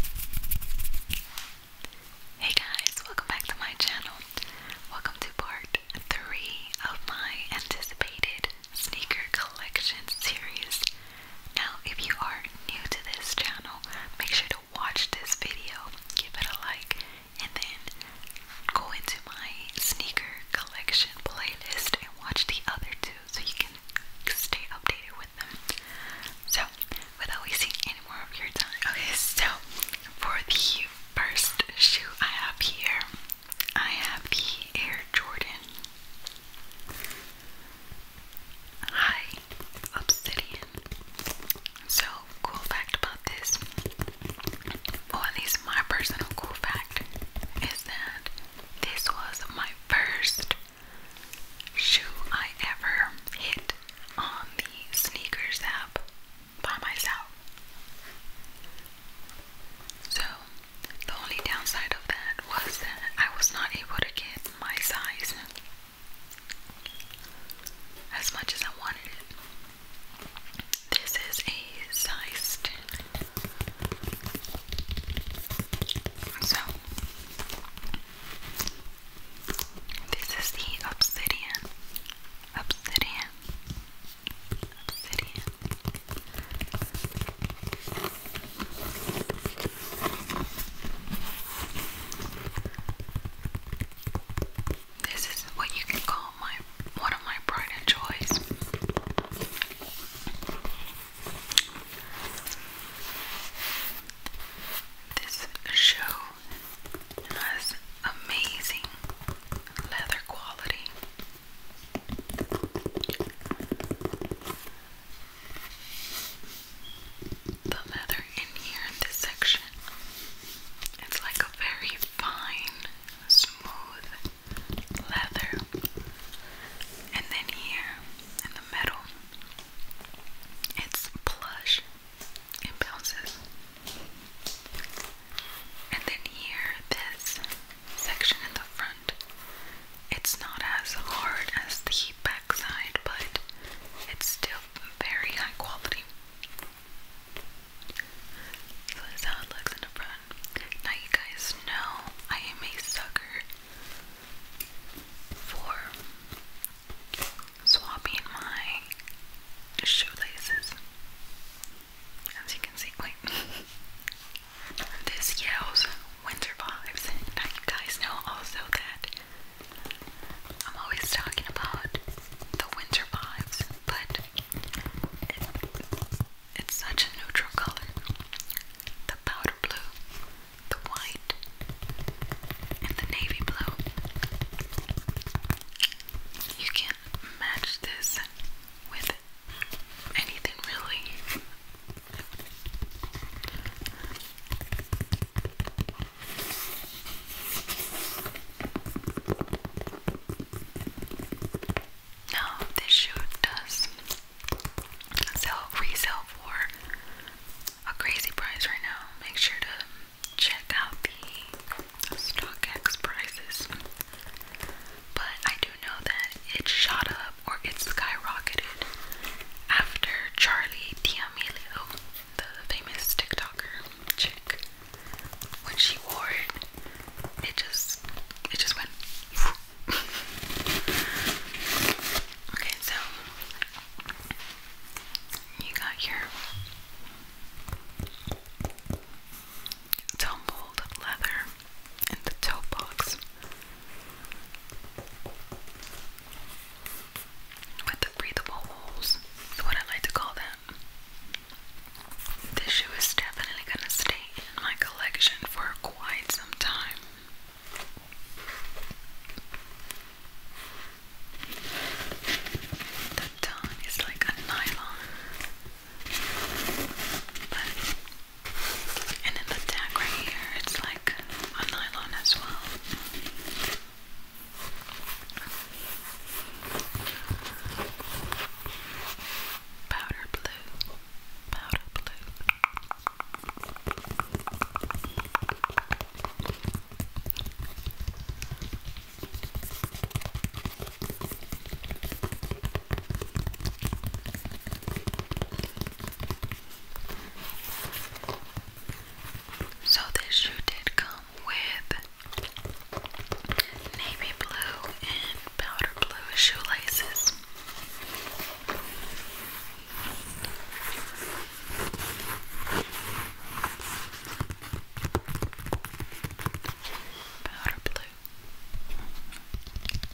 Hey guys, welcome back to my channel. Welcome to part 3 of my anticipated sneaker collection series. Now, if you are new to this channel, make sure to watch this video, give it a like, and then go into my sneaker collection playlist and watch the other two so you can stay updated so, without wasting any more of your time, okay, so for the first shoe I have here, I have the Air Jordan High Obsidian. So, cool fact about this, or at least my personal cool fact, is that this was my first shoe I ever hit on the sneakers app by myself. So, the only downside of that was that I was not able to get my size as much as I wanted it. This is a size So, this is the obsidian. Obsidian. Obsidian. This is what you can call my one of my pride joys. This show has amazing leather quality. The leather in here in this section, it's like a very fine, smooth leather. And then here in the middle, it's plush. It bounces. And then here, this section in the front, it's not as hard as the back but it's still very high quality. So this is looks in the front. Now you guys know I am a sucker for swapping my shoelaces. As you can see, wait. this yells winter vibes. Now you guys know also that I'm always talking about the winter vibes, but it's such a neutral color. The powder blue the white, and the navy blue. You can't match this with anything really. No, this shoe does sell resell for a crazy price right now. Make sure to check out the stock X prices. But I do know that it shot up or it skyrocketed after Charlie D'Amelio, the famous TikToker chick, when she wore it, it just it just went. okay, so you got your tumbled leather in the toe box with the breathable holes what I like to call that. This shoe is definitely gonna stay in my collection for quite some time. The tongue is like a nylon, but and then the tag right here, it's like a nylon as well. Powder blue, powder blue. So, this shoe did come with navy blue and powder blue shoelaces. Powder blue.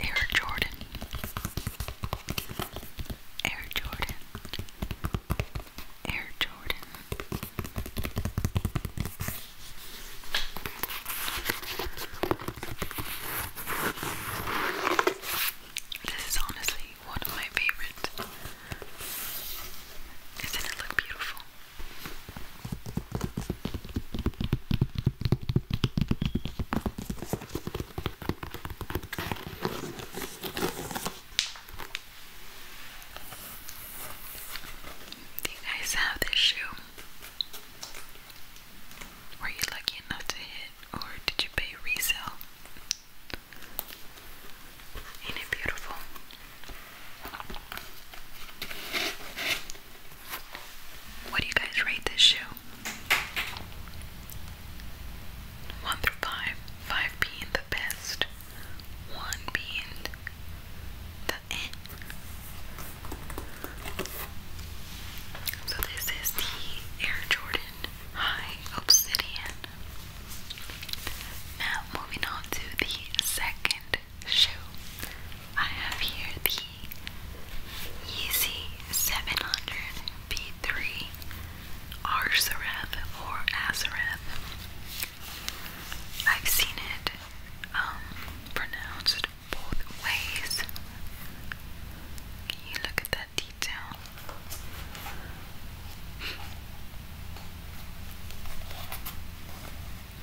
Air Jordan. Air Jordan. Air Jordan. This is honestly one of my favorite. Isn't it look beautiful? Do you guys have this shoe? Were you lucky enough to hit or did you pay resale? Ain't it beautiful? What do you guys rate this shoe? One through five. Five being the best. One being the end. So this is the Air Jordan Hi, Obsidian. Now, moving on to the second shoe. I have here the Yeezy 700 B3 Arzareth or Azareth. I've seen it um, pronounced both ways. Can you look at that?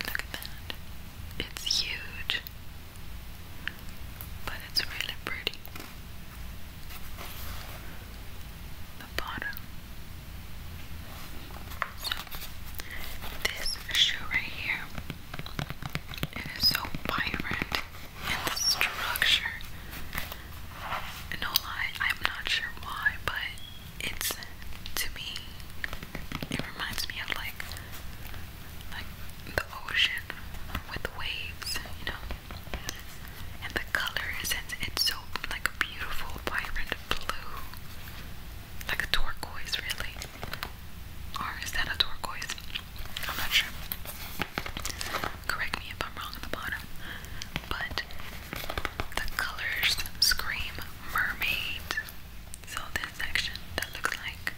Look at that. It's huge, but it's really pretty. The bottom. this shoe right here, it is so vibrant. And the structure. No lie, I'm not sure why, but it's to me it reminds me of like like the ocean with waves, you know. And the color is it's, it's so like beautiful, vibrant blue. Like a turquoise really. Or is that a turquoise? I'm not sure. Correct me if I'm wrong at the bottom. But the colors scream mermaid. So this section that looks like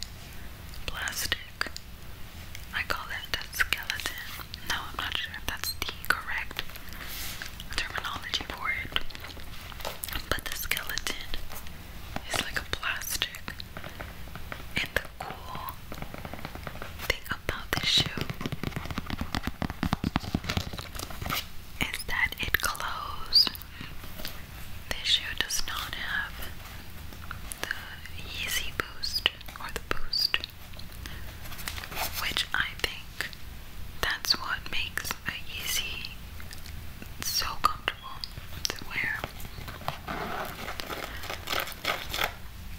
plastic. I call it a skeleton. No, I'm not sure if that's the correct terminology for it. But the skeleton is like a plastic and the cool thing about this shoe is that it glows. This shoe does not have the Yeezy Boost or the Boost, which I think that's what makes a Yeezy so comfortable to wear.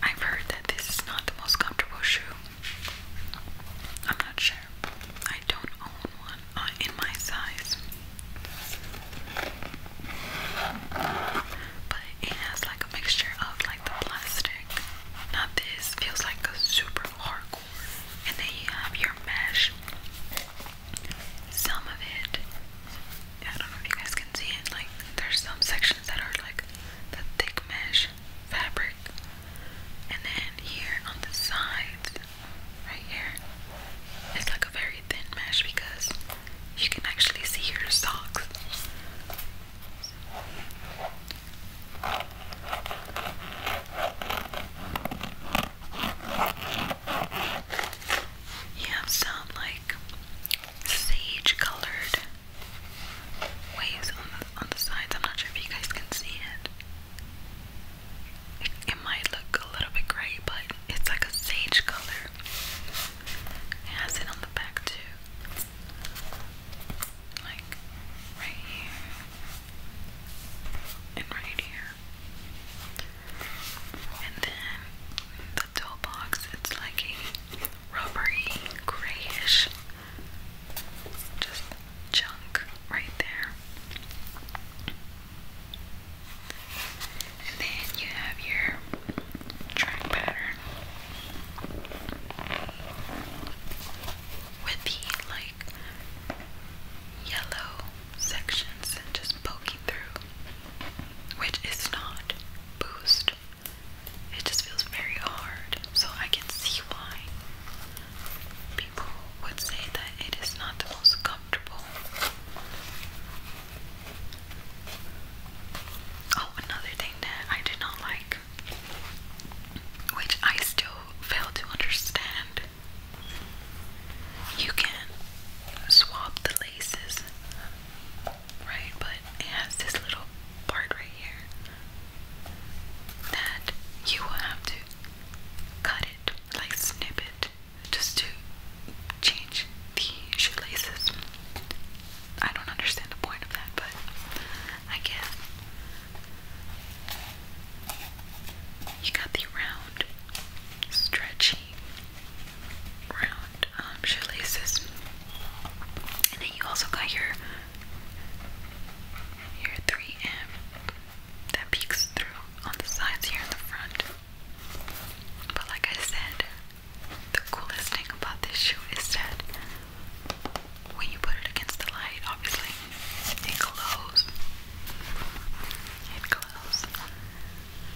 I've heard that this is not the most comfortable shoe. I'm not sure. I don't own one uh, in my size. But it has like a mixture of like the plastic. Not this feels like a super hardcore. And then you have your mesh. Some of it I don't know if you guys can see it, like there's some sections that are like the thick mesh fabric. And then here on the sides, right here, it's like a very thin mesh because you can actually see your socks. You have like sage colored waves on the, on the sides. I'm not sure if you guys can see it. it. might look a little bit gray, but it's like a sage color. has it on the back too. Like right here and right here. And then the toe it's like a rubbery, grayish just chunk right there. And then you have your track pattern with the like yellow sections and just poking through, which is not boost. It just feels very hard, so I can see why people would say that it is not the most comfortable. Oh, another thing that I did not like, which I still fail to understand. You can swap the laces right? But it has this little part right here that you will have to cut it, like snip it, just to change the shoelaces. I don't understand the point of that, but I guess you got the round, stretchy round um, shoelaces. And then you also got your your 3M that peeks through on the sides here in the front. But like I said, the coolest thing about this shoe is that when you put it against the light, obviously it glows. It glows.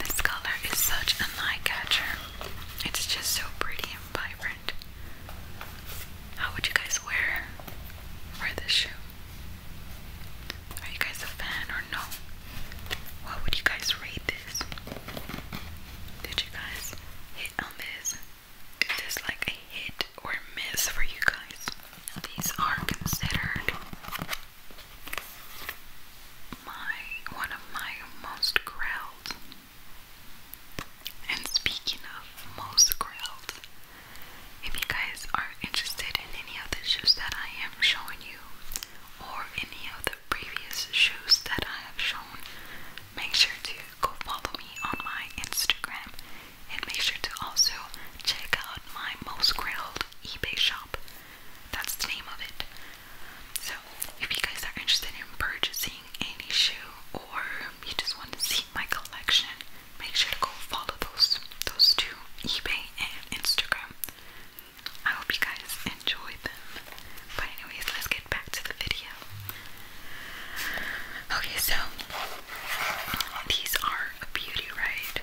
This color is such an eye catcher. It's just so pretty and vibrant. How would you guys wear wear this shoe? Are you guys a fan or no? What would you guys rate this? Did you guys hit on this? Is this like a hit or miss for you guys? These are considered my one of my most grilled. And speaking of most grilled, if you guys are interested in any of the shoes that I am showing you, or any of the previous shoes that I have shown, make sure to go follow me on my Instagram and make sure to also check out my most grilled eBay shop. That's the name of it. So, if you guys are interested in purchasing any shoe or you just want to see my collection, make sure to go follow those those two, eBay and Instagram. I hope you guys enjoy them. But anyways, let's get back to the video. Okay, so these are a beauty, right?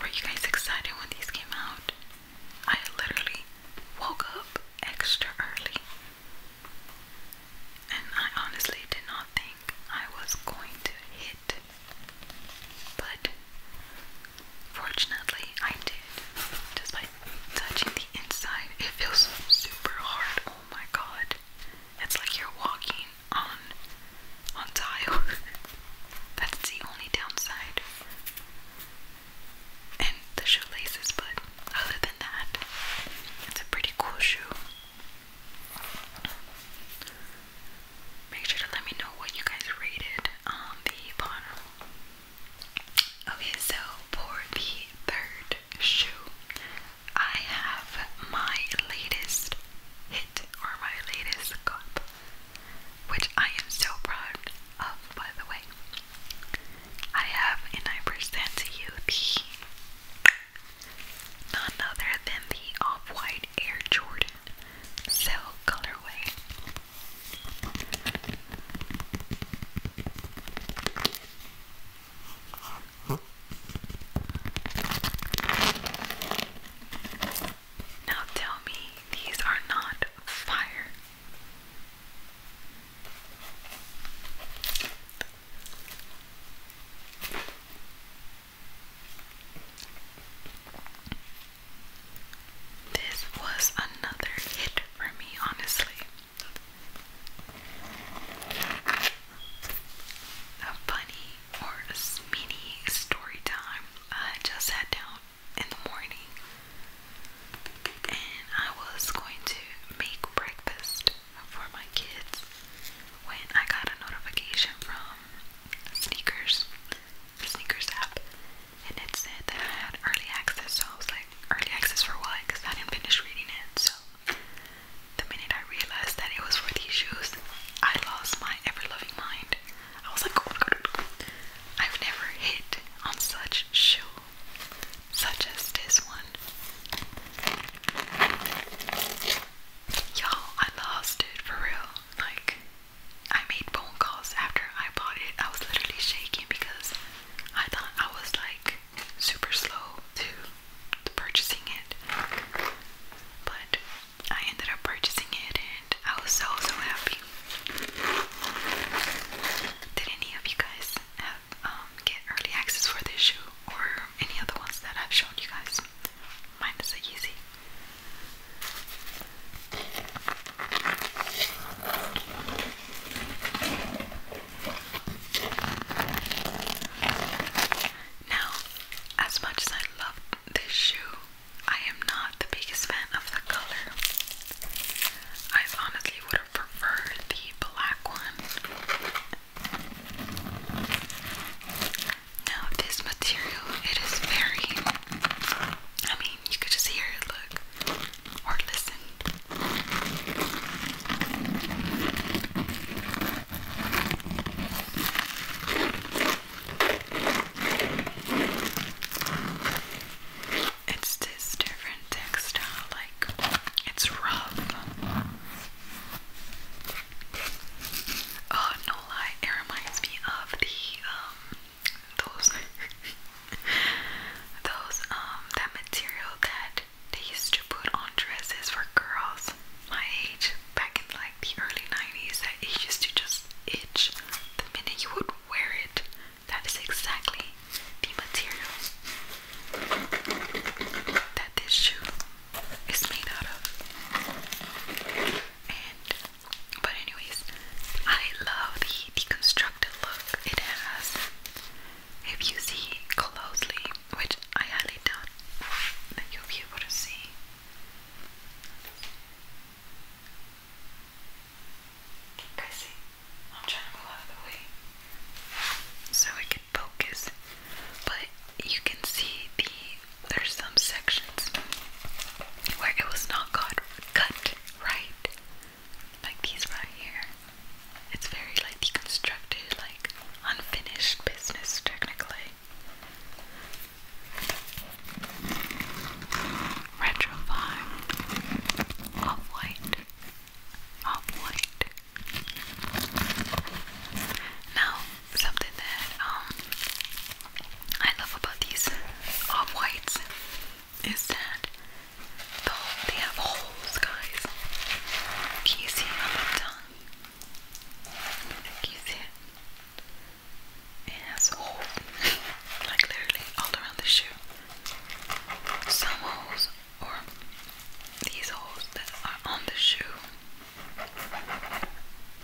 Were you guys excited when these came out? I literally woke up extra early. And I honestly did not think I was going to hit. But fortunately, I did. Just touching the inside, it feels super hard. Oh my god. It's like you're walking on on tile. That's the only downside. And the shoelaces, but other than that, it's a pretty cool shoe. Make sure to let me know what you guys rated on the bottom. Okay, so for the third shoe, I have my latest hit or my latest cup, which I am so proud of, by the way. I have, and I present to you the none other than the off white Air Jordan Cell colorway. Now tell me these are not fire. This was another hit for me, honestly. A bunny or a mini story time. I just sat down in the morning and I was going to make breakfast for my kids when I got a notification from Sneakers, the Sneakers app, and it said that I had early access. So I was like, early access for what? Because I didn't finish reading it. So the minute I realized that it was for these shoes, I lost my ever loving mind. I was like, oh I've never hit on such shoe, such as this one. you I lost it for real. Like, I made phone calls after I bought it. I was literally shaking because I thought I was like super slow too purchasing it, but I ended up purchasing it, and I was so so happy. Did any of you guys um, get early access for this shoe or any other ones that I've shown you guys? Mine is a Yeezy. Now, as much as I love this shoe, I am not the biggest fan of the color. I honestly would have preferred the black one. Now, this material, it is very, I mean, you could just hear it, look, or listen. It's this different textile, like it's rough. Oh no lie, it reminds me of the um those those um that material that they used to put on dresses for girls my age back in like the early 90s that it used to just itch the minute you would wear it. That is exactly the material that this shoe is made out of. And but anyways, I love the deconstructed look it has. If you see closely, which I highly doubt that you'll be able to see. Okay, see, I'm trying to move out of the way so it can focus, but you can see the there's some sections where it was not cut cut right, like these right here. It's very like deconstructed, like unfinished business technically. Retrofine, off-white, off-white. Now, something that um, I love about these off-whites is that they have holes, guys. Can you see on the you see it? It has holes, like literally all around the shoe. Some holes, or these holes that are on the shoe,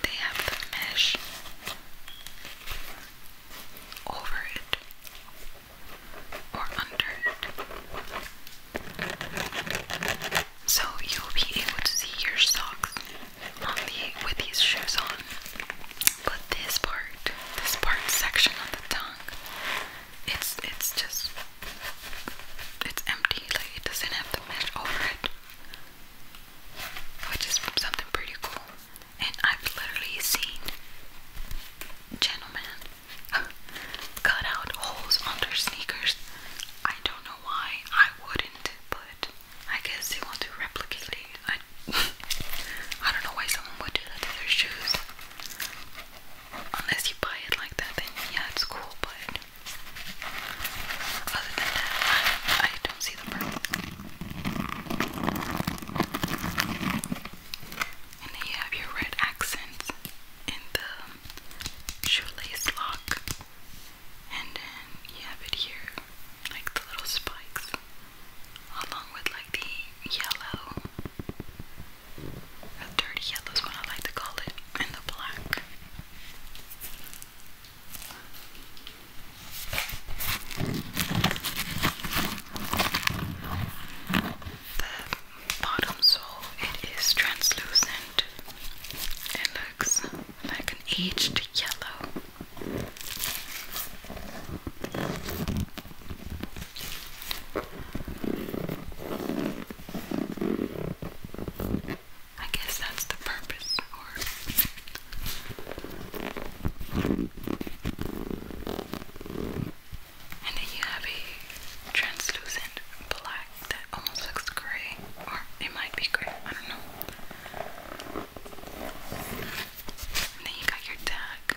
they have the mesh over it or under it so you'll be able to see your socks with these shoes on. But this part, this part section of the tongue, it's it's just it's empty. Like it doesn't have the mesh over it, which is something pretty cool. And I've literally seen gentlemen cut out holes on sneakers. I don't know why I wouldn't, but I guess they want to replicate it. I, I don't know why someone would do that to their shoes. Unless you buy it like that, then yeah, it's cool, but other than that, I, don't see the purpose. And then you have your red accents in the shoelace lock. And then you have it here, like the little spikes, along with like the yellow, a dirty yellow is what I like to call it, and the black. The bottom, so it is translucent. It looks like an aged yellow. I guess that's the purpose, or and then you have a translucent black, that almost looks gray, or it might be gray, I don't know. then you got your tag.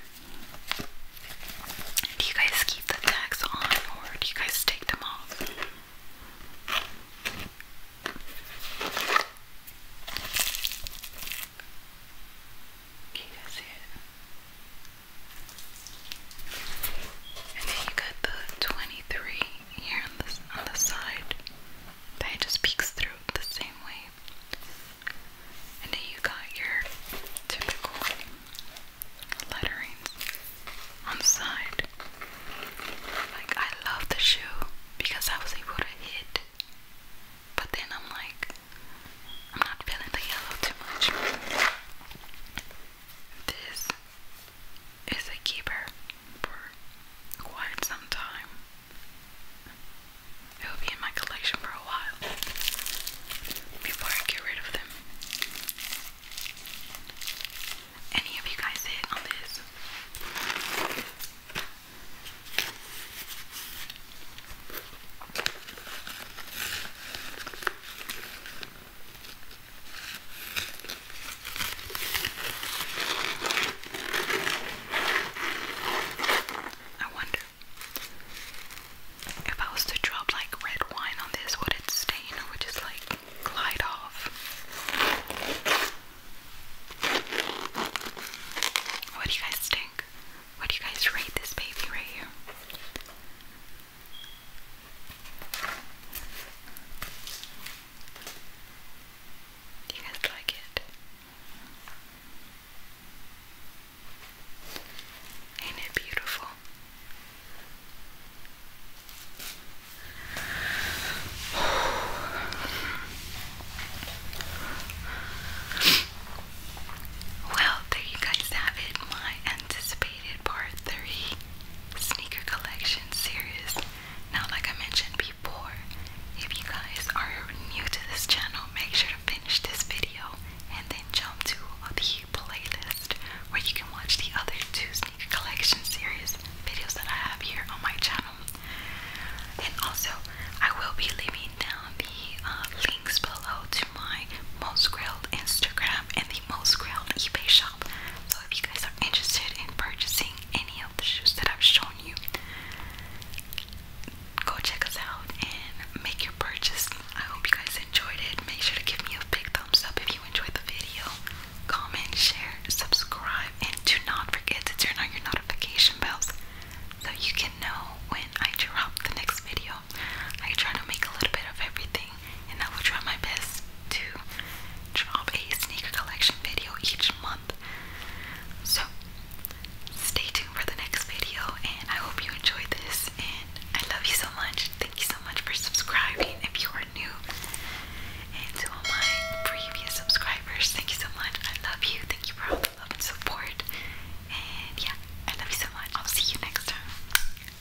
Do you guys keep the tags on or do you guys take them off? Can you guys see it? And then you got the 23 here on this on the side. That just peeks through the same way. And then you got your typical letterings on the side. Like I love the shoe because I was able to hit. But then I'm like, I'm not feeling the yellow too much. This is a keeper for quite some time. It will be in my collection for a while before I get rid of them. Any of you guys hit on this? I wonder if I was to drop like red wine on this, would it stain or would just like glide off? What do you guys think? What do you guys rate this baby right here? Do you guys like it? Ain't it beautiful? Well, there you guys have it, my anticipated part three sneaker collection series. Now, like I mentioned before, if you guys are new to this channel, make sure to finish this video and then jump to the playlist where you can watch the other two sneaker collection series videos that I have here on my channel. And also, I will be leaving down the uh, links below to my most grilled Instagram and the most grilled eBay shop. So if you guys are interested in purchasing any of the shoes that I've shown you, go check us out and make your purchase. I hope you guys enjoyed it. Make sure to give me a big thumbs up if you enjoyed the video. Comment, share, subscribe, and do not forget to turn on your notification bells so you can know when I drop the next video. I try to make a little bit of everything and I will try my best to drop a sneaker collection video each month. So, stay tuned for the next video, and I hope you enjoyed this. And I love you so much. Thank you so much for subscribing if you are new. And to all my previous subscribers, thank you so much. I love you. Thank you for all the love and support. And yeah, I love you so much. I'll see you next time.